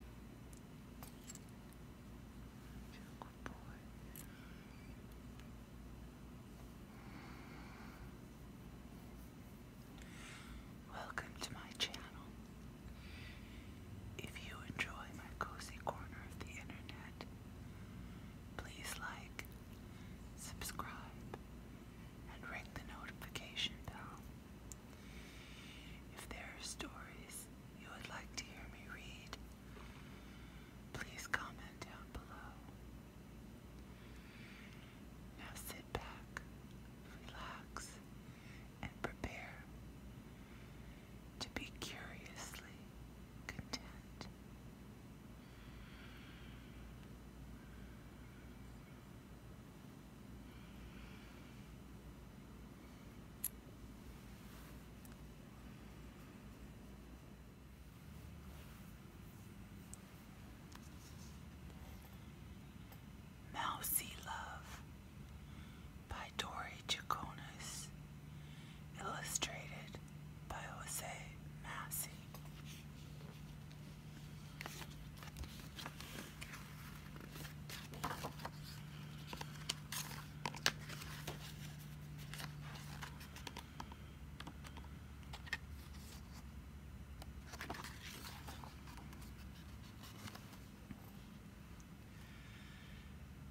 Good Welcome to my channel. If you enjoy my cozy corner of the internet, please like, subscribe, and ring the notification bell if there are stories you would like to hear me read, please comment down below. Now sit back, relax, and prepare to be curiously content. Mousy Love by Tori Chaconis, illustrated by Jose Massey.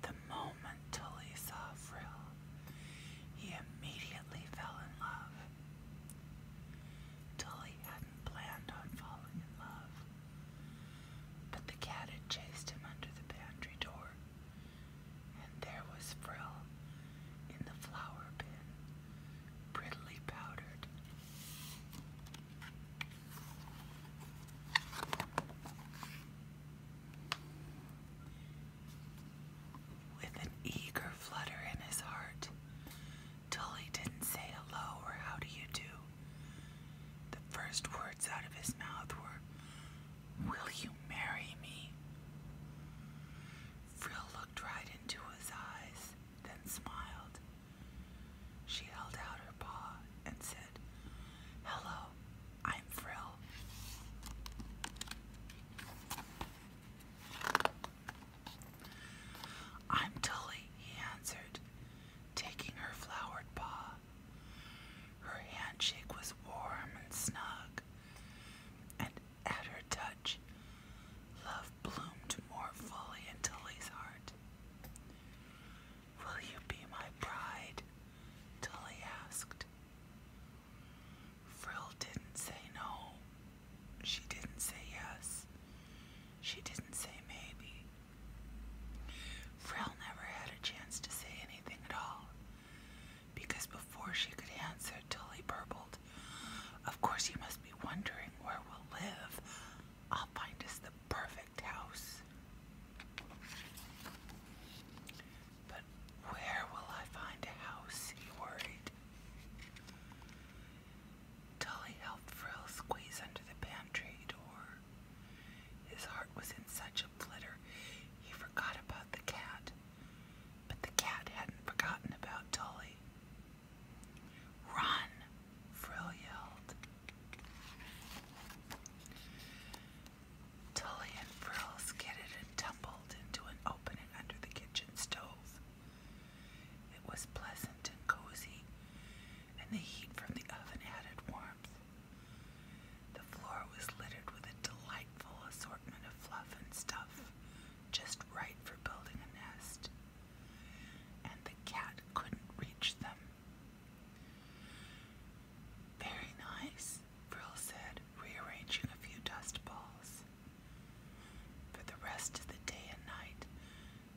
The moment Tully saw Frill, he immediately fell in love. Tully hadn't planned on falling in love, but the cat had chased him under the pantry door, and there was Frill in the flower bin, prettily powdered. With an eager flutter in his heart, Tully didn't say hello or how do you do. The first words out of his mouth were, Will you marry me? Frill looked right into his eyes, then smiled. She held out her paw and said, Hello, I'm Frill. I'm Tully, he answered, taking her flowered paw. Her handshake was warm and snug, and at her touch, love bloomed more fully in Tully's heart. Will you be my bride? Tully asked. Frill didn't say no. She didn't say yes. She didn't say maybe. Frill never had a chance to say anything at all because before she could answer, Tully burbled, Of course, you must be wondering where we'll live. I'll find us the perfect house. But where will I find a house? He worried. Tully helped Frill squeeze under the pantry door. His heart was in such a flutter he forgot about the cat. But the cat hadn't forgotten about Tully. Run! Frill yelled. Tully and Frill skidded and tumbled into an opening under the kitchen stove. It was pleasant and cozy, and the heat from the oven added warmth. The floor was littered with a delightful assortment of fluff and stuff, just right for building a nest. And the cat couldn't reach them. Very nice, Frill said, rearranging a few dust balls. For the rest of the day and night,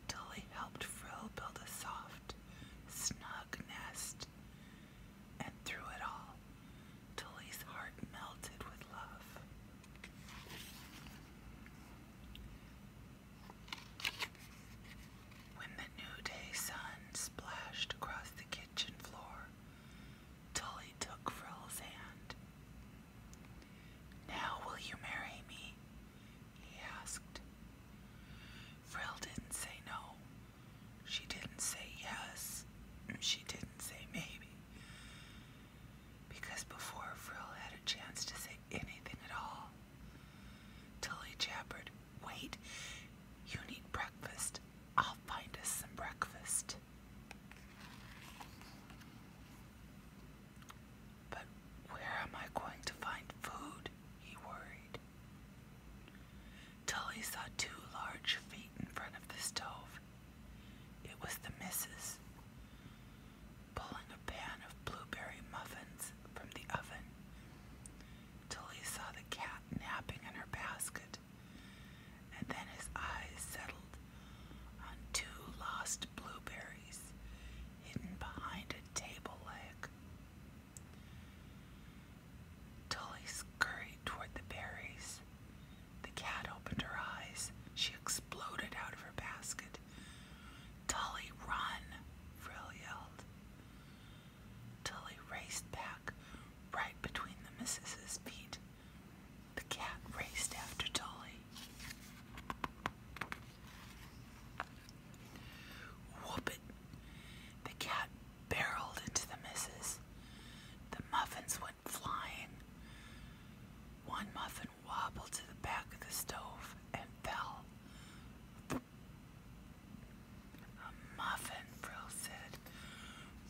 Tully helped Frill build a soft, snug nest, and through it all, Tully's heart melted with love. When the new day sun splashed across the kitchen floor, Tully took Frill's hand. Now will you marry me? he asked. Frill didn't say no. She didn't say yes. She didn't say maybe. Because before Frill had a chance to say anything at all, Tully jabbered, Wait, you need breakfast. I'll find us some breakfast. But where am I going to find food? He worried. Tully saw two large feet in front of the stove. It was the missus pulling a pan of blueberry muffins from the oven. Tully saw the cat napping in her basket and then his eyes settled on two lost blueberries hidden behind a table leg. Tully scurried toward the berries. The cat opened her eyes. She exploded out of her basket. Tully, run! Frill yelled till raced back right between the missus's feet. The cat raced after Dolly. Whoop The cat barreled into the missus. The muffins went flying. One muffin wobbled to the back of the stove and fell. A muffin, Brill said,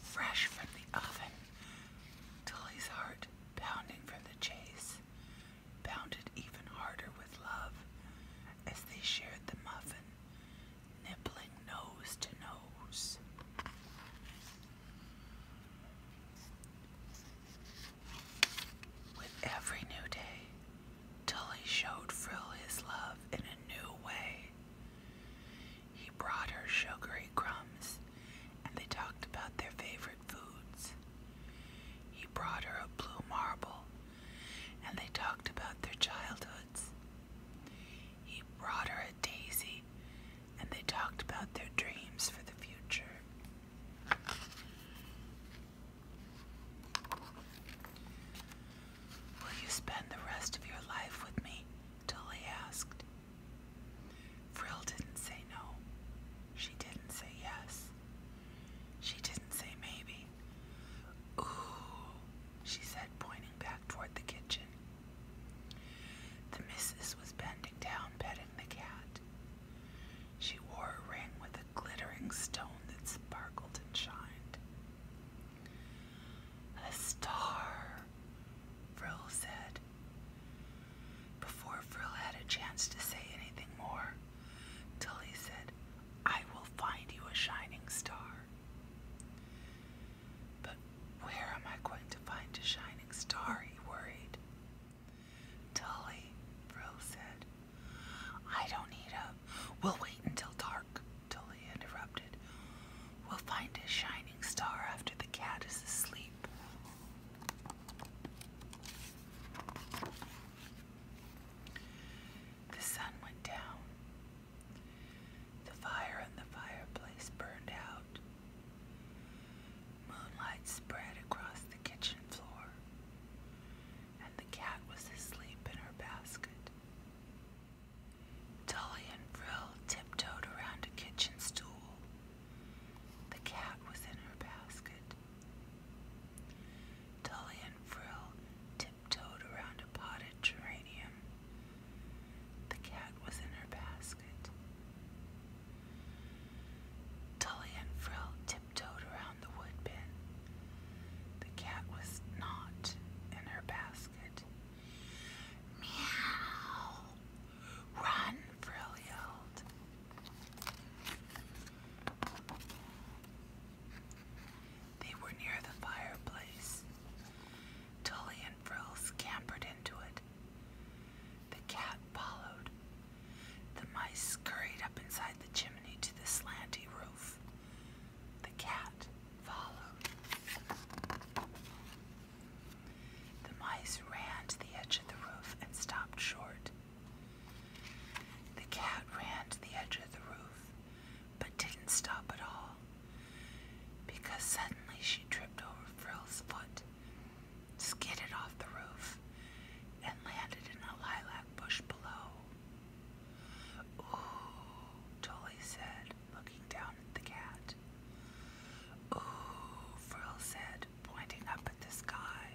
fresh from the oven. Tully's heart, pounding from the chase, pounded even harder with love as they shared the muffin, nibbling nose to nose. With every new day, till he showed Frill his love in a new way. He brought her sugary crumbs, and they talked about their favorite foods. He brought her a blue marble, and they talked about their childhoods. He brought her a daisy, and they talked about their dreams for the future. Will you spend the rest of your life with me? Tully asked. Frill didn't say no. She didn't say yes. She didn't say maybe. Ooh, she said, pointing back toward the kitchen. The missus was bending down, petting the cat. She wore a ring with a glittering stone that sparkled and shined. A star, Frill said. Before Frill had a chance to say anything more, Tully said, I will find you a shining star. But where am I going to find a shining star? he worried. Tully, Brill said. I don't need a. We'll wait until dark, Tully interrupted. We'll find a shining star after the cat is asleep. The sun went down. The fire in the fireplace burned out. Moonlight spread across the kitchen floor and the cat was asleep in her basket. Dolly and Frill tiptoed around a kitchen stool. The cat was in her basket. Dolly and Frill tiptoed around a potted geranium. The cat was in her basket. Tully and Frill tiptoed tiptoed around the woodbin. The cat was not in her basket. Meow! Run, Frill yelled. They were near the fireplace. Tully and Frill scampered into it. The cat followed. The mice scurried up inside the chimney to the slanty roof. The cat followed. The mice ran to the edge of the roof and stopped short. The cat ran to the edge of the roof, but didn't stop at all, because suddenly she tripped over Frill's foot skidded off the roof and landed in a lilac bush below. Ooh, Tolly said, looking down at the cat. Ooh, Frill said, pointing up at the sky.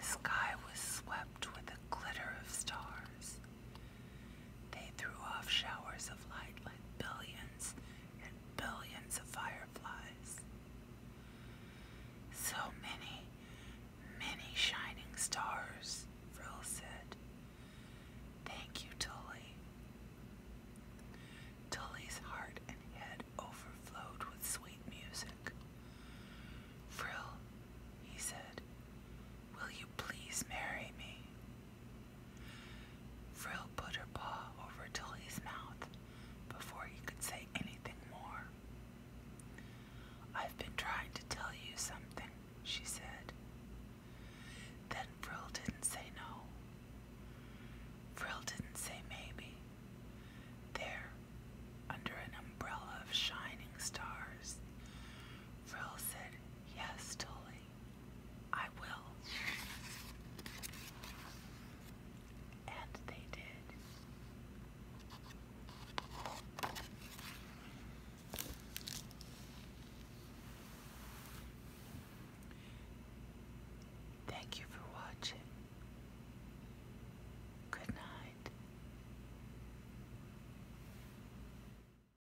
The sky was swept with a glitter of stars. They threw off showers of light like billions and billions of fireflies. So many, many shining stars, Frill said. Thank you, Tully. Tully's heart and head overflowed with sweet music. Frill, he said, will you please marry me? Frill put her paw over till mouth before he could say anything more. I've been trying to tell you something, she said. Then Frill didn't say no. Frill didn't say maybe. There, under an umbrella of shining stars, Frill said yes, Tully. I will. And they did. Thank you for watching. Good night.